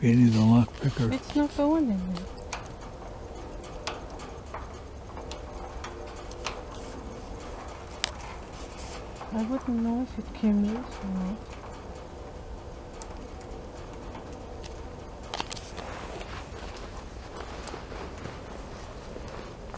Beating the lock picker. It's not going anywhere. I wouldn't know if it came loose or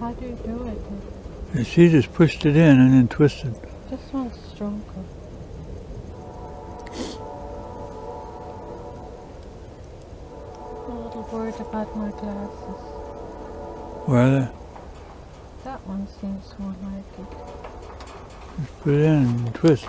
How do you do it? And she just pushed it in and then twisted. This one's stronger. I'm a little worried about my glasses. Where are they? That one seems more like it. Just put it in and twist.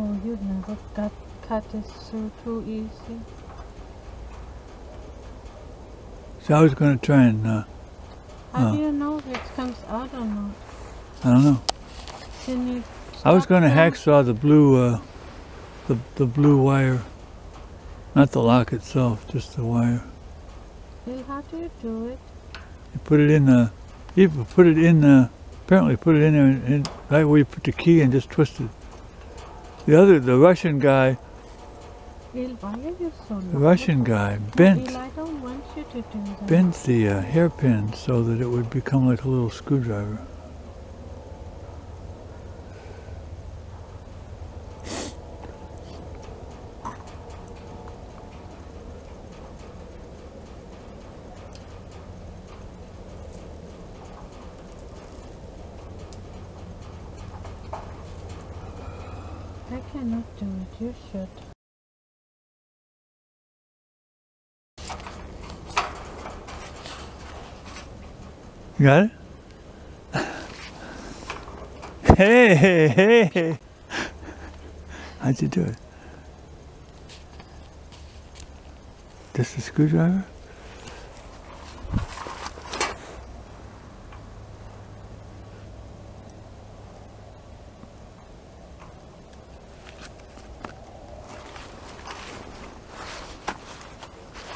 Oh, you never got cut this so too easy. So I was going to try and. Uh, How do uh. you know if it comes out or not? I don't know. Can you I was going to hacksaw the blue, uh, the the blue wire, not the lock itself, just the wire. Well, how do you do it? You put it in the, you put it in the, apparently put it in there and, and right where you put the key and just twist it. The other, the Russian guy, the Russian guy bent, bent the uh, hairpin so that it would become like a little screwdriver. I cannot do it, you should. got it? hey, hey, hey. How'd you do it? Just a screwdriver?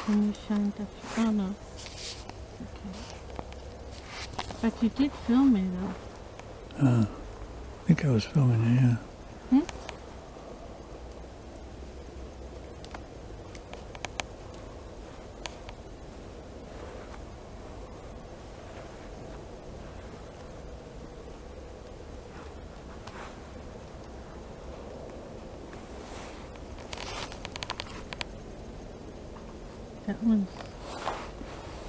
Can you shine the... Oh no. But you did film me though. Uh, I think I was filming it, yeah. Hmm?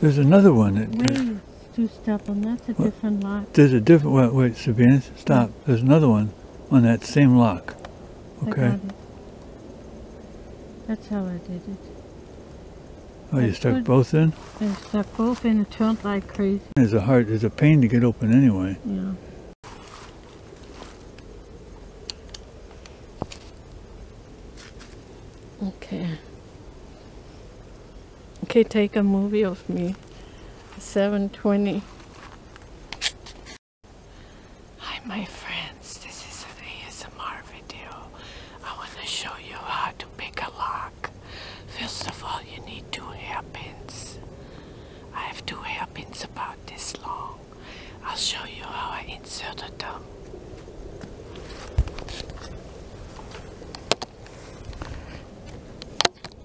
There's another one that. Wait, two step and that's a different lock. There's a different. Wait, Sabina, stop. There's another one on that same lock. Okay. That's how I did it. Oh, you stuck both in? I stuck both in and turned like crazy. There's a heart. There's a pain to get open anyway. Yeah. Okay. Okay, take a movie of me. 720. Hi, my friends. This is an ASMR video. I want to show you how to pick a lock. First of all, you need two hairpins. I have two hairpins about this long. I'll show you how I insert a tongue.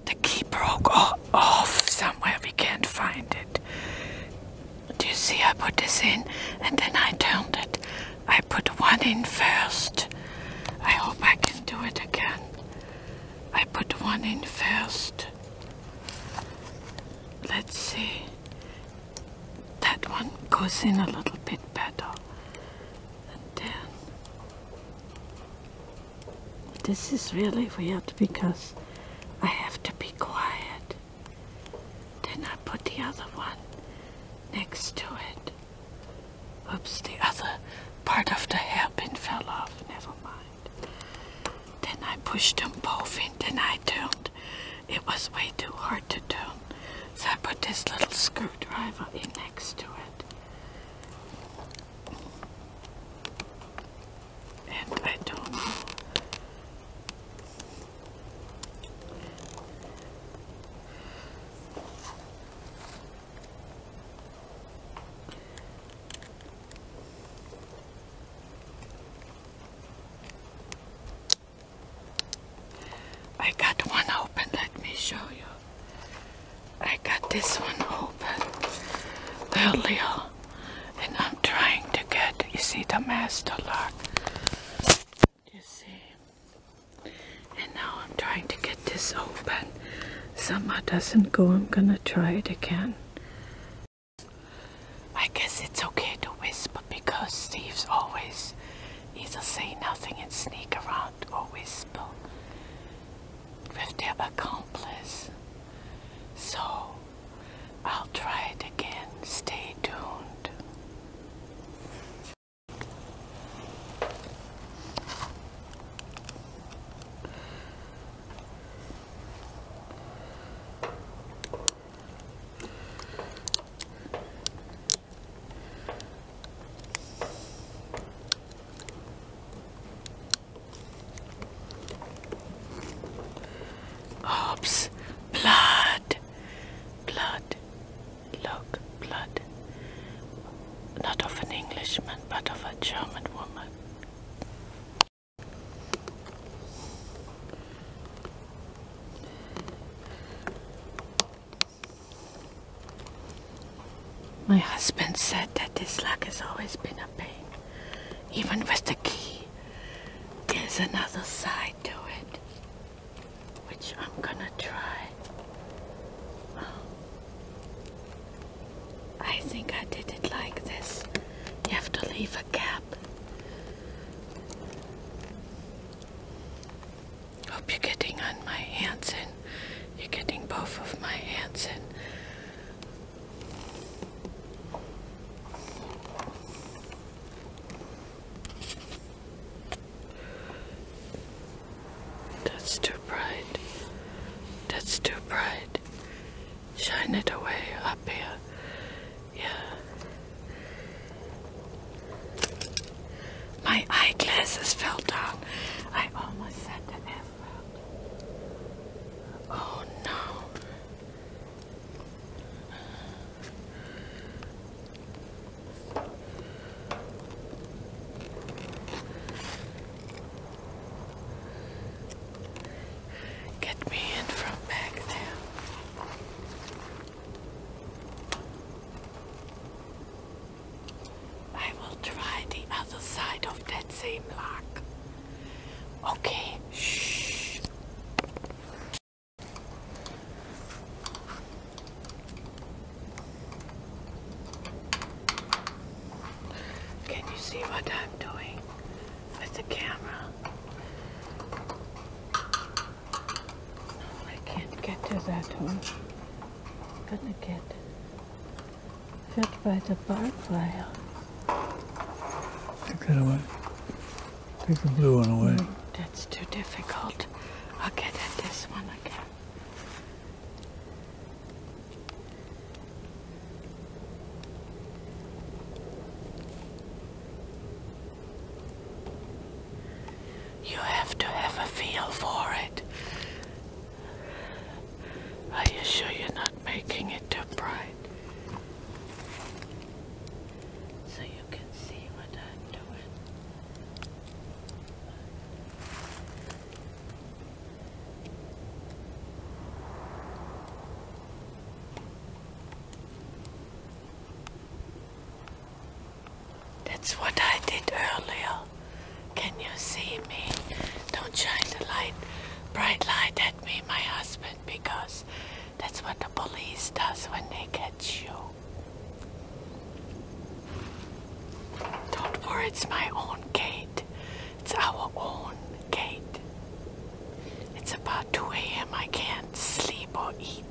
The key broke off somewhere, we can't find it. Do you see I put this in and then I turned it? I put one in first. I hope I can do it again. I put one in first. Let's see that one goes in a little bit better and then this is really weird because I have to be quiet then I put the other one next to it oops the other part of the hairpin fell off never mind then I pushed them both in, then I turned. It was way too hard to turn. So I put this little screwdriver in next to it. And I do I got one open, let me show you. I got this one open earlier and I'm trying to get, you see the master lock. You see? And now I'm trying to get this open. Somehow doesn't go, I'm gonna try it again. I guess it's okay to whisper because Steve's always either say nothing and sneak around or whisper with their accomplice. So I'll try it again. Stay tuned. Oops. Blood. Blood. Look, blood. Not of an Englishman, but of a German woman. My husband said that this lock has always been a pain, even with the key. There's another side to it, which I'm gonna try. I think I did it like this. You have to leave a gap. Hope you're getting on my hands in. You're getting both of my hands in. That's too bright. That's too bright shine it away up here. Yeah. My eyeglasses fell down. I almost said the F word. Oh no. Get me in from back there. I will try the other side of that same lock. Okay, shh. Can you see what I'm doing with the camera? No, I can't get to that one. I'm gonna get hit by the barfly. Take that away. Take the blue one away. Mm, that's too difficult. I'll get at this one again. You have to have a feel for it. Are you sure you're not making it too bright? So you can see what I'm doing. That's what I did earlier. Can you see me? Don't shine the light, bright light at me, my husband, because that's what the police does when they catch you. Don't worry, it's my own gate. It's our own gate. It's about 2 a.m. I can't sleep or eat.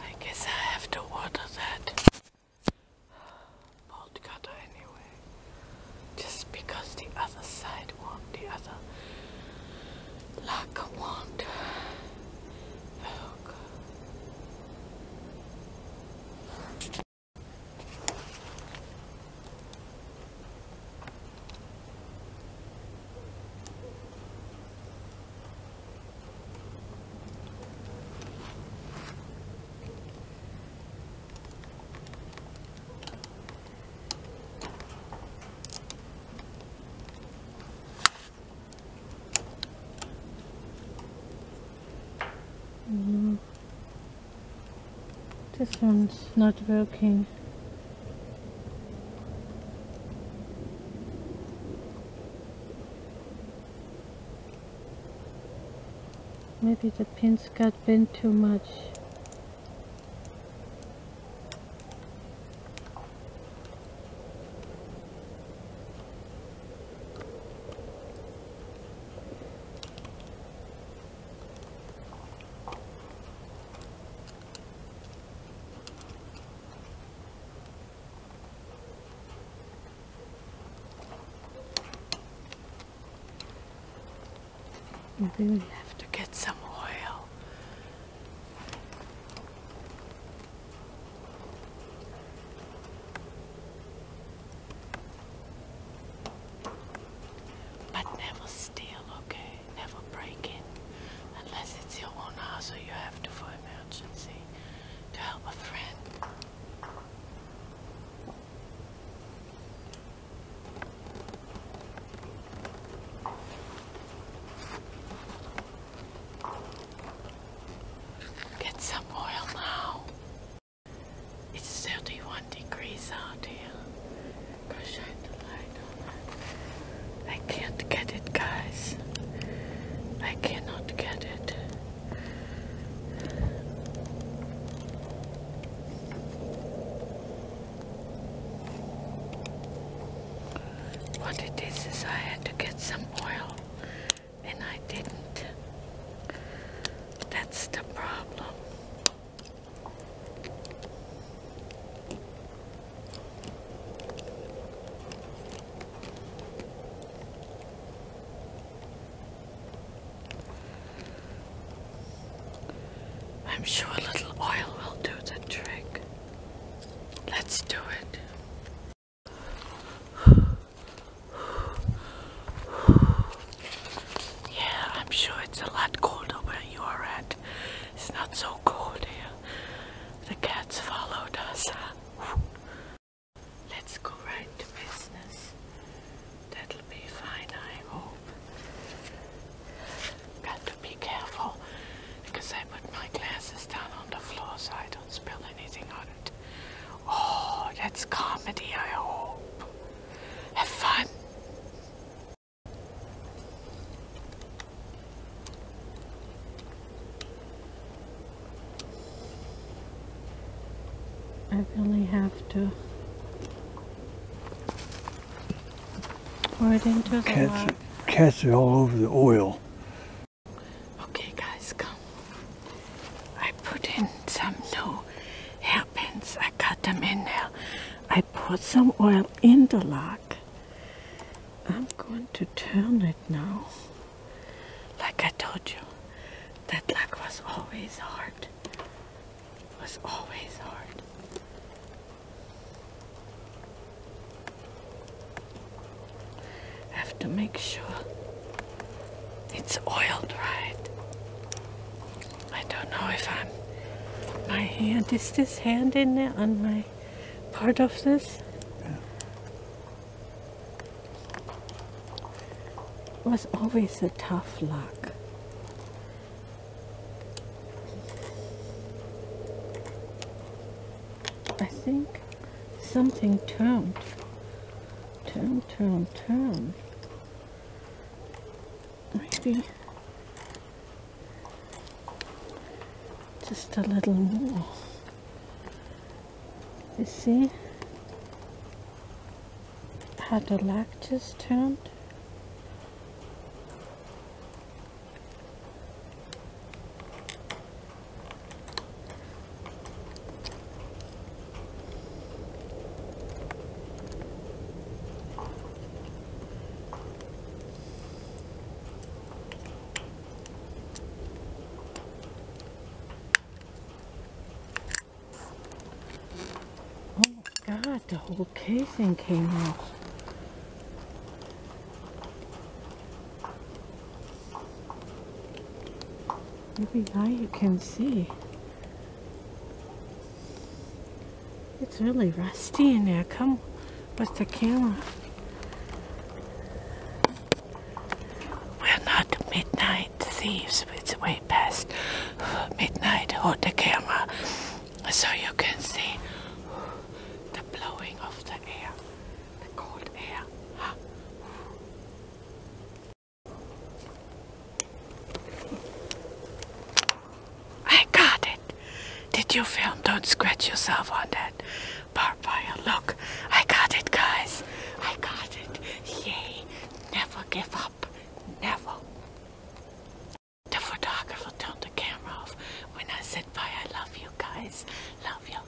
I guess I have to order that bolt anyway. Just because the other side won't, the other lock won't. The Mm. This one's not working. Maybe the pins got bent too much. Maybe we have to get some oil. But never steal, okay? never break in unless it's your own house or you have to for emergency to help a friend. Get some oil now. It's 31 degrees out here. I can't get it, guys. I cannot get it. What it is is I had to get some oil and I didn't. That's the problem. I'm sure a little oil will do the trick. Let's do it. Yeah, I'm sure it's a lot colder where you are at. It's not so cold here. The cats followed us. Let's go right to business. That'll be fine, I hope. Got to be careful because I put my glasses down on the floor so I don't spill anything on it. Oh, that's comedy, I hope. Have fun. I really have to pour it into cats, the lock. Catch it all over the oil. Okay guys, come. I put in some new help happens. I cut them in now. I put some oil in the lock. I'm going to turn it now. Like I told you, that lock was always hard. was always hard. Have to make sure it's oiled right. I don't know if I'm my hand is this hand in there on my part of this yeah. was always a tough luck I think something turned Turned. Turned. turn maybe just a little more. You see how the lag just turned? god, the whole casing came off. Maybe now you can see. It's really rusty in there. Come with the camera. We're not midnight thieves. It's way past midnight. Hold the camera so you can see the blowing of the air, the cold air. I got it. Did you film? Don't scratch yourself on that barbed wire. Look, I got it, guys. I got it. Yay. Never give up. Never. The photographer turned the camera off when I said bye. I love you guys. Love you.